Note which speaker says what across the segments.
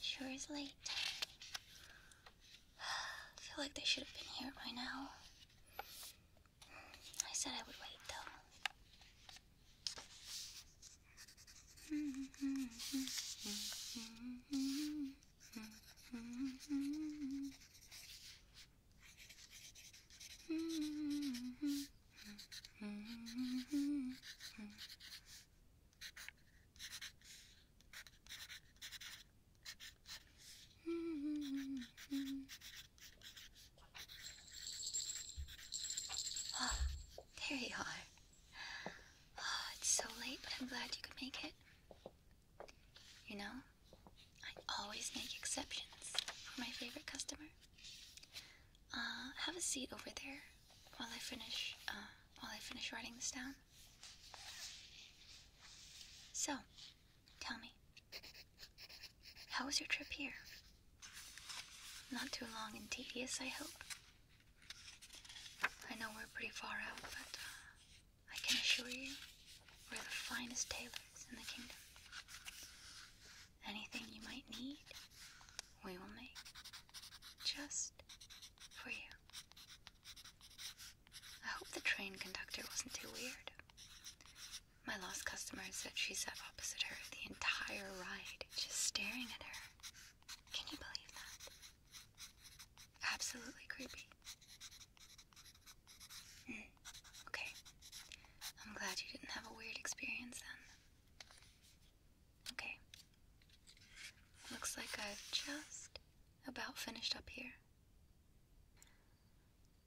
Speaker 1: sure it's late. feel like they should have been here by now. I said I would wait
Speaker 2: though.
Speaker 1: Oh, there you are. Oh, it's so late, but I'm glad you could make it. You know, I always make exceptions for my favorite customer. Uh, have a seat over there while I finish. Uh, while I finish writing this down. So, tell me, how was your trip here? Not too long and tedious, I hope. I know we're pretty far out, but uh, I can assure you, we're the finest tailors in the kingdom. Anything you might need, we will make just for you. I hope the train conductor wasn't too weird. My lost customer said she sat opposite her the entire ride, just staring at her. Can you believe that? Absolutely creepy. Hmm. okay. I'm glad you didn't have a weird experience then. Okay. Looks like I've just about finished up here.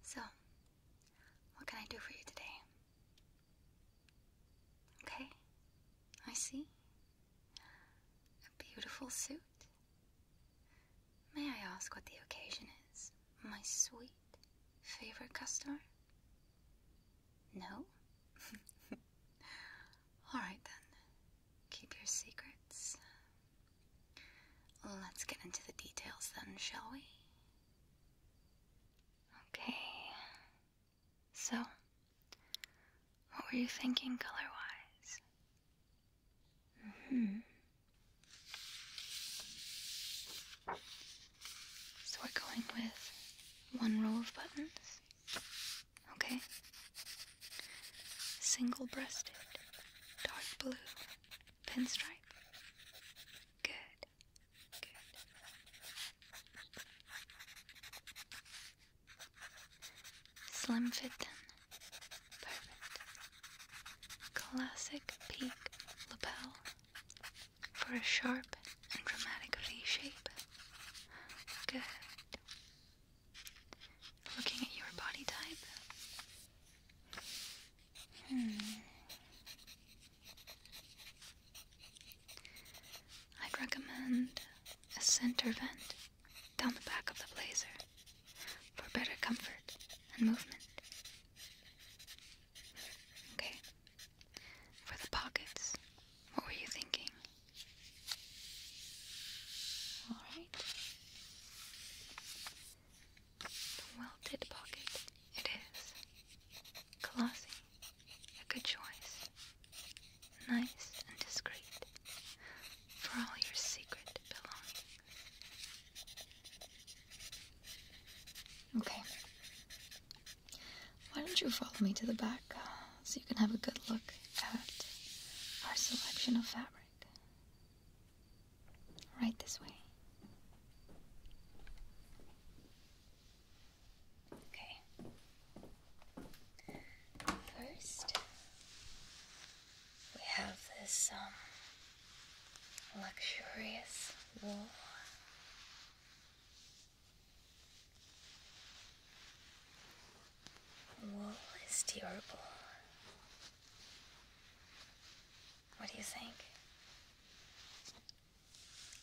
Speaker 1: So, what can I do for you today? Okay, I see. A beautiful suit. May I ask what the occasion is, my sweet? Favorite customer? No? Alright then. Keep your secrets. Let's get into the details then, shall we? Okay. So, what were you thinking color wise? hmm. So we're going with one row of buttons. Okay? Single breasted, dark blue, pinstripe. Good. Good. Slim fit Perfect. Classic peak lapel for a sharp and dramatic V-shape. Good. Looking at your body type. Hmm. I'd recommend a center vent down the back of the blazer for better comfort and movement. Okay, for the pockets, what were you thinking? Alright. The welted pocket, it is. Glossy, a good choice. Nice and discreet for all your secret belongings. Okay. Why don't you follow me to the back uh, so you can have a good look at our selection of fabric? Right this way. Okay. First, we have this um, luxurious wool. Wool is durable. What do you think?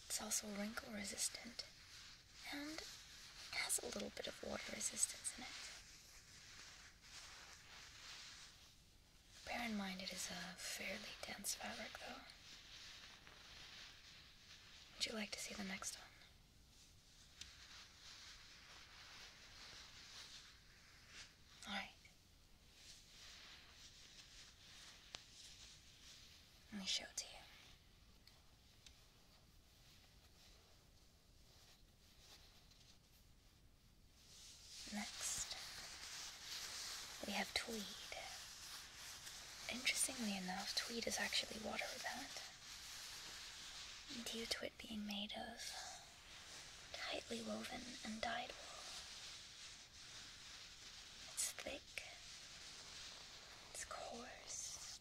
Speaker 1: It's also wrinkle resistant and has a little bit of water resistance in it. Bear in mind it is a fairly dense fabric though. Would you like to see the next one? All right. Let me show it to you. Next, we have tweed. Interestingly enough, tweed is actually water repellent. Due to it being made of tightly woven and dyed wool. It's thick, it's coarse,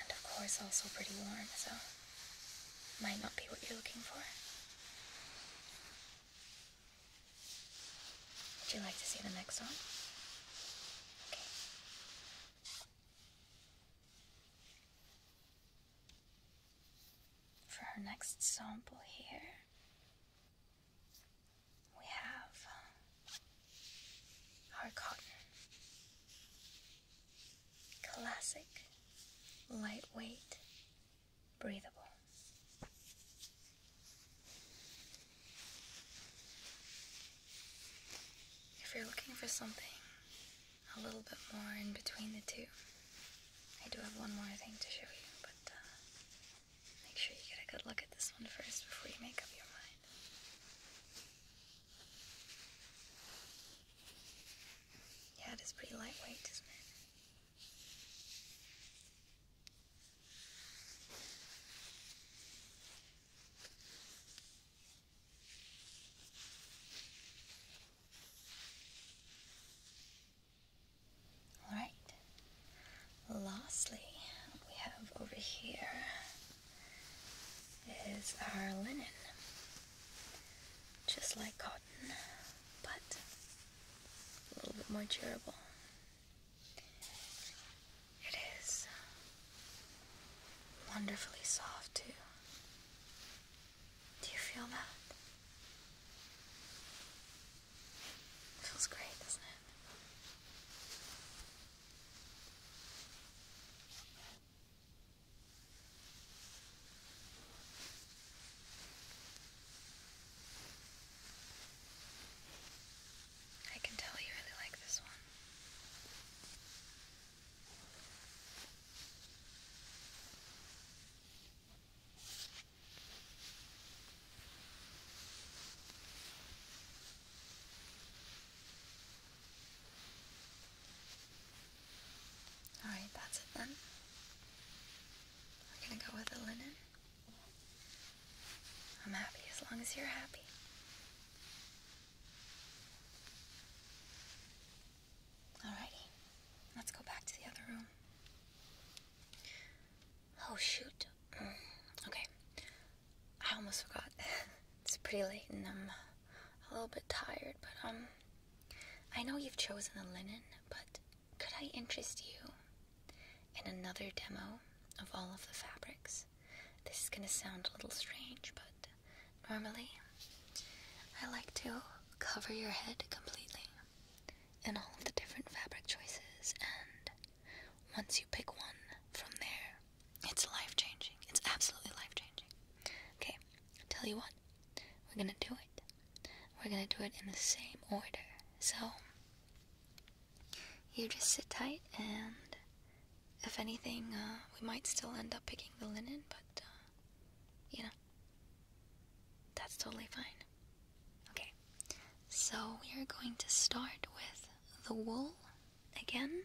Speaker 1: and of course also pretty warm, so might not be what you're looking for. Would you like to see the next one? Okay. For our next sample here, we have uh, our cotton. Classic, lightweight, breathable. If you're looking for something a little bit more in between the two, I do have one more thing to show you, but uh, make sure you get a good look at this one first before you make up your mind. Yeah, it is pretty lightweight, isn't it? All right. Lastly, we have over here is our linen, just like cotton, but a little bit more durable. It is wonderfully soft too. Do you feel that? feels great, doesn't it? I can tell you really like this one. Alright, that's it then. We're gonna go with the linen. I'm happy as long as you're happy. Alrighty, let's go back to the other room. Oh, shoot.
Speaker 2: Mm,
Speaker 1: okay, I almost forgot. it's pretty late and I'm a little bit tired, but, um, I know you've chosen the linen, but could I interest you in another demo of all of the fabrics? This is going to sound a little strange, but normally I like to cover your head completely in all of the different fabric choices, and once you pick one from there, it's life changing. It's absolutely life changing. Okay, tell you what, we're going to do it. We're gonna do it in the same order. So, you just sit tight, and if anything, uh, we might still end up picking the linen, but, uh, you know, that's totally fine. Okay, so we are going to start with the wool again.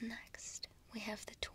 Speaker 1: Next, we have the tweed.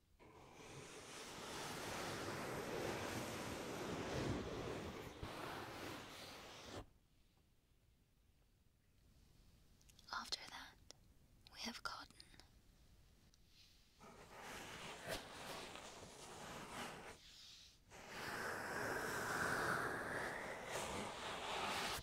Speaker 1: After that, we have cotton.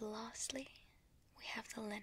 Speaker 1: And lastly, we have the linen.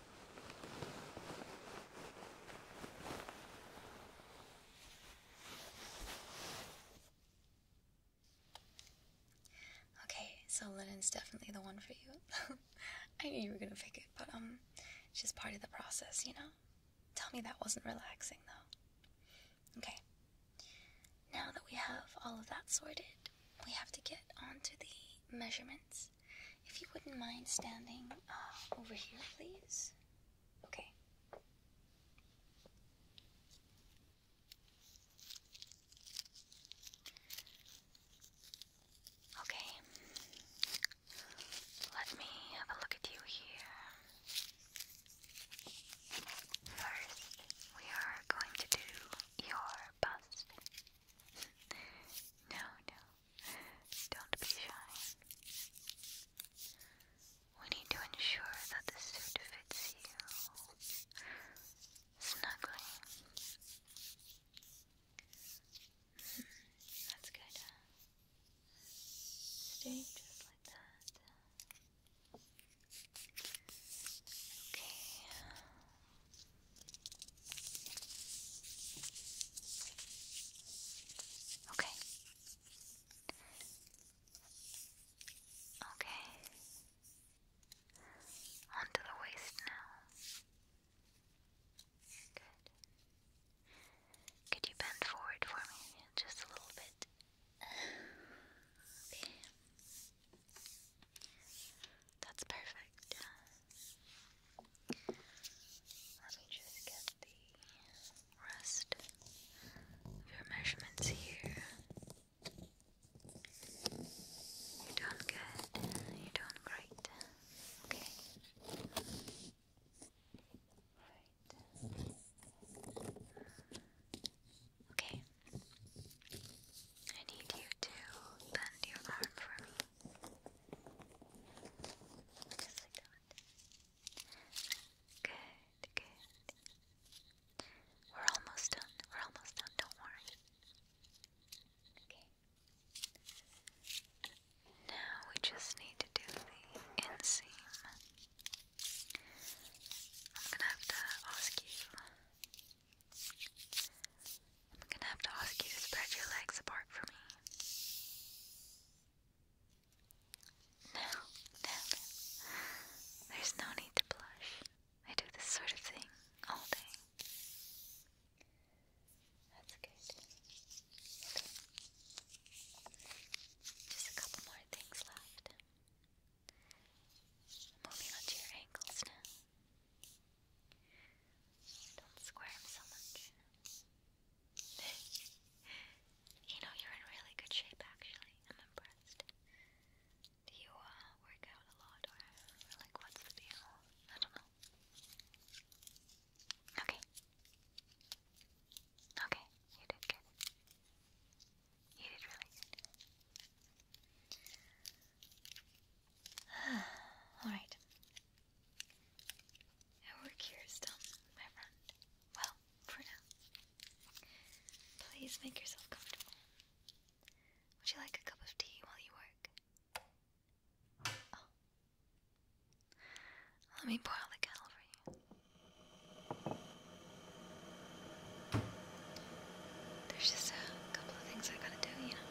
Speaker 1: Okay, so linen's definitely the one for you. I knew you were gonna pick it, but um, it's just part of the process, you know? Tell me that wasn't relaxing, though. Okay, now that we have all of that sorted, we have to get onto the measurements. If you wouldn't mind standing uh, over here, please. Okay. Okay. Let me have a look at you here. First, we are going to do your bust. no, no, don't be shy. We need to ensure that the suit fits you
Speaker 2: snugly. Hmm, that's good. Stay just like that. Okay.
Speaker 1: Okay. Okay. Onto the waist now. Good. Could you bend forward for me just a little bit? Okay. That's perfect. Let me just get the rest of your measurements here. You're doing good. You're doing great. Okay. Right. Okay. I need you to bend your arm for me. Just like We're almost done. We're almost done. Don't worry. Okay. Now we just need to do the inseam. I'm gonna have to ask you. I'm gonna have to ask you to spread your legs apart for me. No, no, no. There's no need to blush. I do this sort of thing all day. That's good. Okay. Just a couple more things left. Moving on your ankles now. Don't squirm so much you know, you're in really good shape actually. I'm impressed. you uh, work out a lot or like what's the deal? I don't know.
Speaker 2: Okay. Okay, you did good. You did really good.
Speaker 1: Alright. Our work here is done, my friend. Well, for now. Please make yourself comfortable. Would you like a cup of tea while you work? Oh. Let me boil the kettle for you.
Speaker 2: There's just a couple of things I gotta do, you know.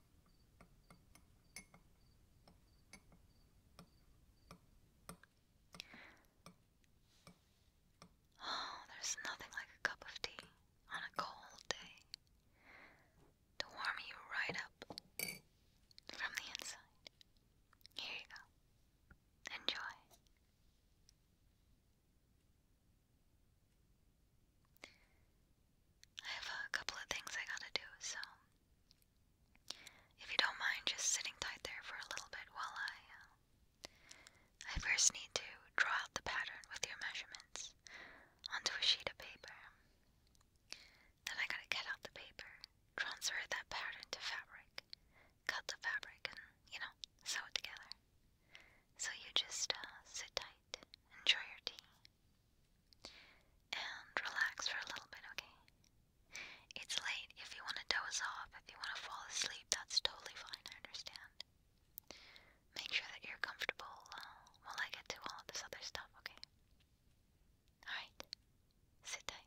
Speaker 1: Oh, there's nothing like a cup of tea on a cold day to warm you right up from the inside. Here you go. Enjoy. I have a couple of things I gotta do, so if you don't mind just sitting tight there for a little bit while I. Uh, I first need to draw out the pattern with your measurements onto a sheet of paper. Then I gotta get out the paper, transfer that pattern to fabric, cut the fabric, and, you know, sew it together. So you just uh, sit tight, enjoy your tea, and relax for a little bit, okay? It's late. If you want to doze off, if you want to fall asleep, that's totally fine. I understand. Make sure that you're comfortable uh, while I get to all of this other stuff, okay? Alright. Sit tight.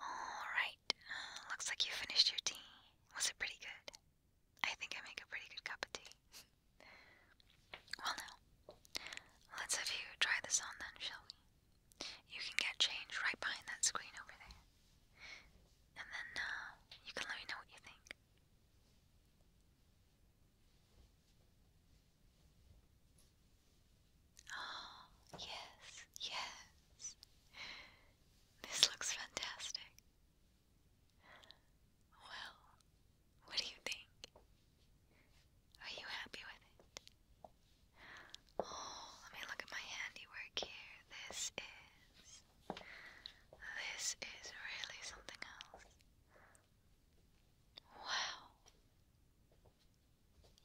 Speaker 1: Alright, uh, looks like you finished your tea. Was it pretty good? I think I make a pretty good cup of tea. well, now, let's have you try this on then, shall we? You can get change right behind that screen over there and then uh, you can let me know what you think. Oh, yes, yes. This looks fantastic. Well, what do you think? Are you happy with it? Oh, let me look at my handiwork here. This is this is really something else. Wow.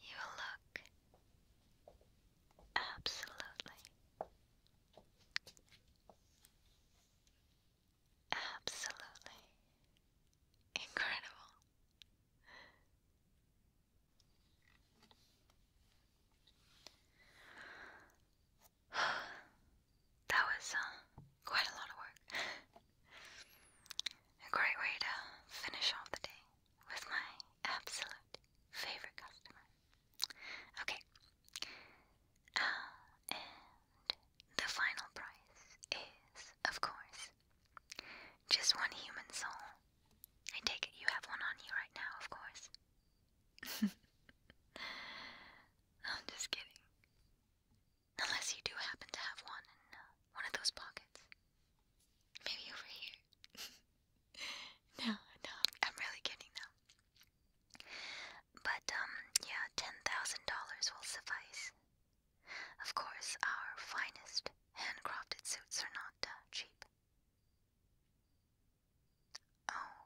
Speaker 1: You look absolutely, absolutely incredible. that was uh, quite a lot of work. a great way to finish off the day with my absolute favorite customer. Okay. Uh, and the final price is, of course, just one human soul. I take it you have one on you right now, of course. I'm just kidding. Unless you do happen to have one in uh, one of those pockets. Maybe over here.
Speaker 2: no,
Speaker 1: no, I'm really kidding though. But, um, yeah, $10,000 will suffice. Of course, our finest handcrafted suits are not uh, cheap. Oh.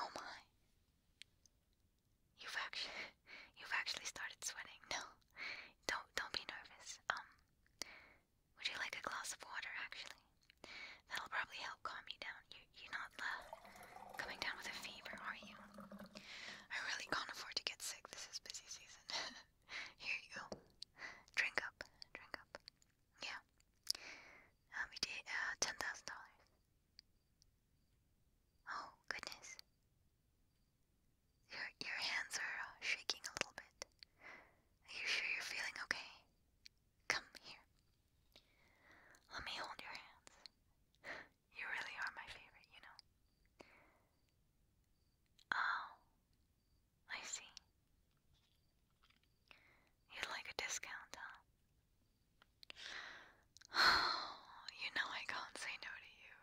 Speaker 1: Oh my. You've actually you've actually started sweating. No. Don't don't be nervous. Um would you like a glass of water actually? That'll probably help calm you down. You you're not uh, coming down with a fever, are you? I really can't afford to get sick. This is busy season. Here you go. Drink up. Drink up. Yeah. Um, we did uh, ten thousand dollars. Oh goodness. Your your hands are uh, shaking a little bit. Are you sure you're feeling okay? Come here. Let me hold your hands. You really are my favorite, you know. Oh, I see you like a discount, huh? you know I can't say no to you.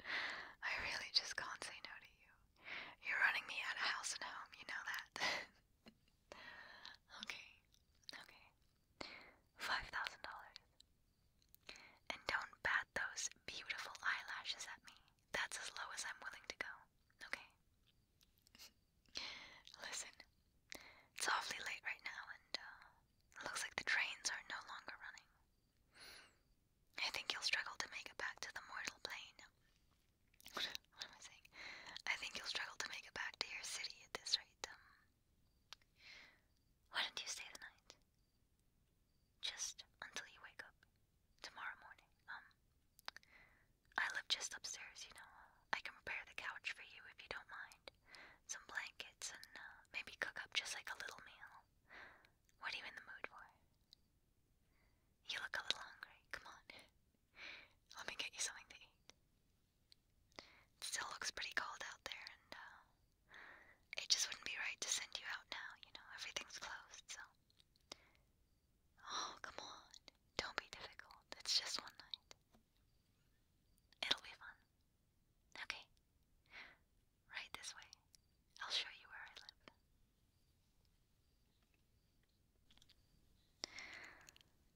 Speaker 1: I really just can't say no to you. You're running me out of house and home, you know that. okay, okay. Five thousand dollars. And don't bat those beautiful eyelashes at me. That's as low as I'm willing to go. Okay? Listen, it's awfully late right now, and uh, looks like the trains are no longer running. I think you'll struggle to make it back to the mortal plane. what am I saying? I think you'll struggle to make it back to your city at this rate. Um, why don't you stay the night? Just until you wake up tomorrow morning. Um, I live just upstairs, you know. I can prepare the couch for you if you don't mind. Some blankets and uh, maybe cook up just like a little meal. What are you in the mood for? You look a little hungry. Come on. Let me get you something to eat. still looks pretty cold out there, and uh, it just wouldn't be right to send you out now, you know. Everything's closed, so. Oh, come on. Don't be difficult. It's just one night. It'll be fun. Okay. Right this way. I'll show you where I live.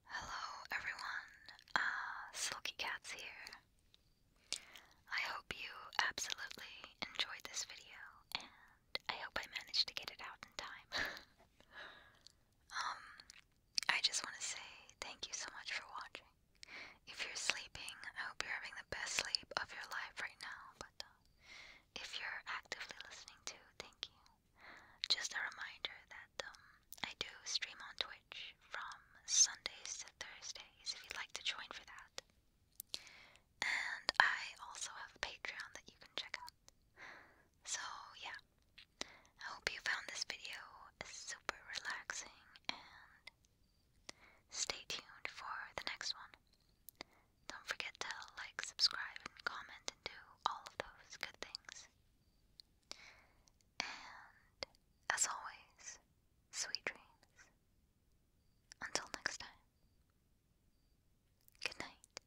Speaker 1: Hello, everyone. Uh, Silky Cat's here. I hope you absolutely enjoyed this video, and I hope I managed to get it out in time. um, I just want to say thank you so much for watching. If you're sleeping, I hope you're having the best sleep of your life right now. But uh, if you're actively listening to, thank you. Just a reminder that um, I do stream on Twitch from Sundays to Thursdays if you'd like to join for that. And I also have Patreon that you can check out. So, yeah, I hope you found this video super relaxing and stay tuned for the next one. Don't forget to like, subscribe, comment, and do all of those good things. And as always, sweet dreams. Until next time, good night.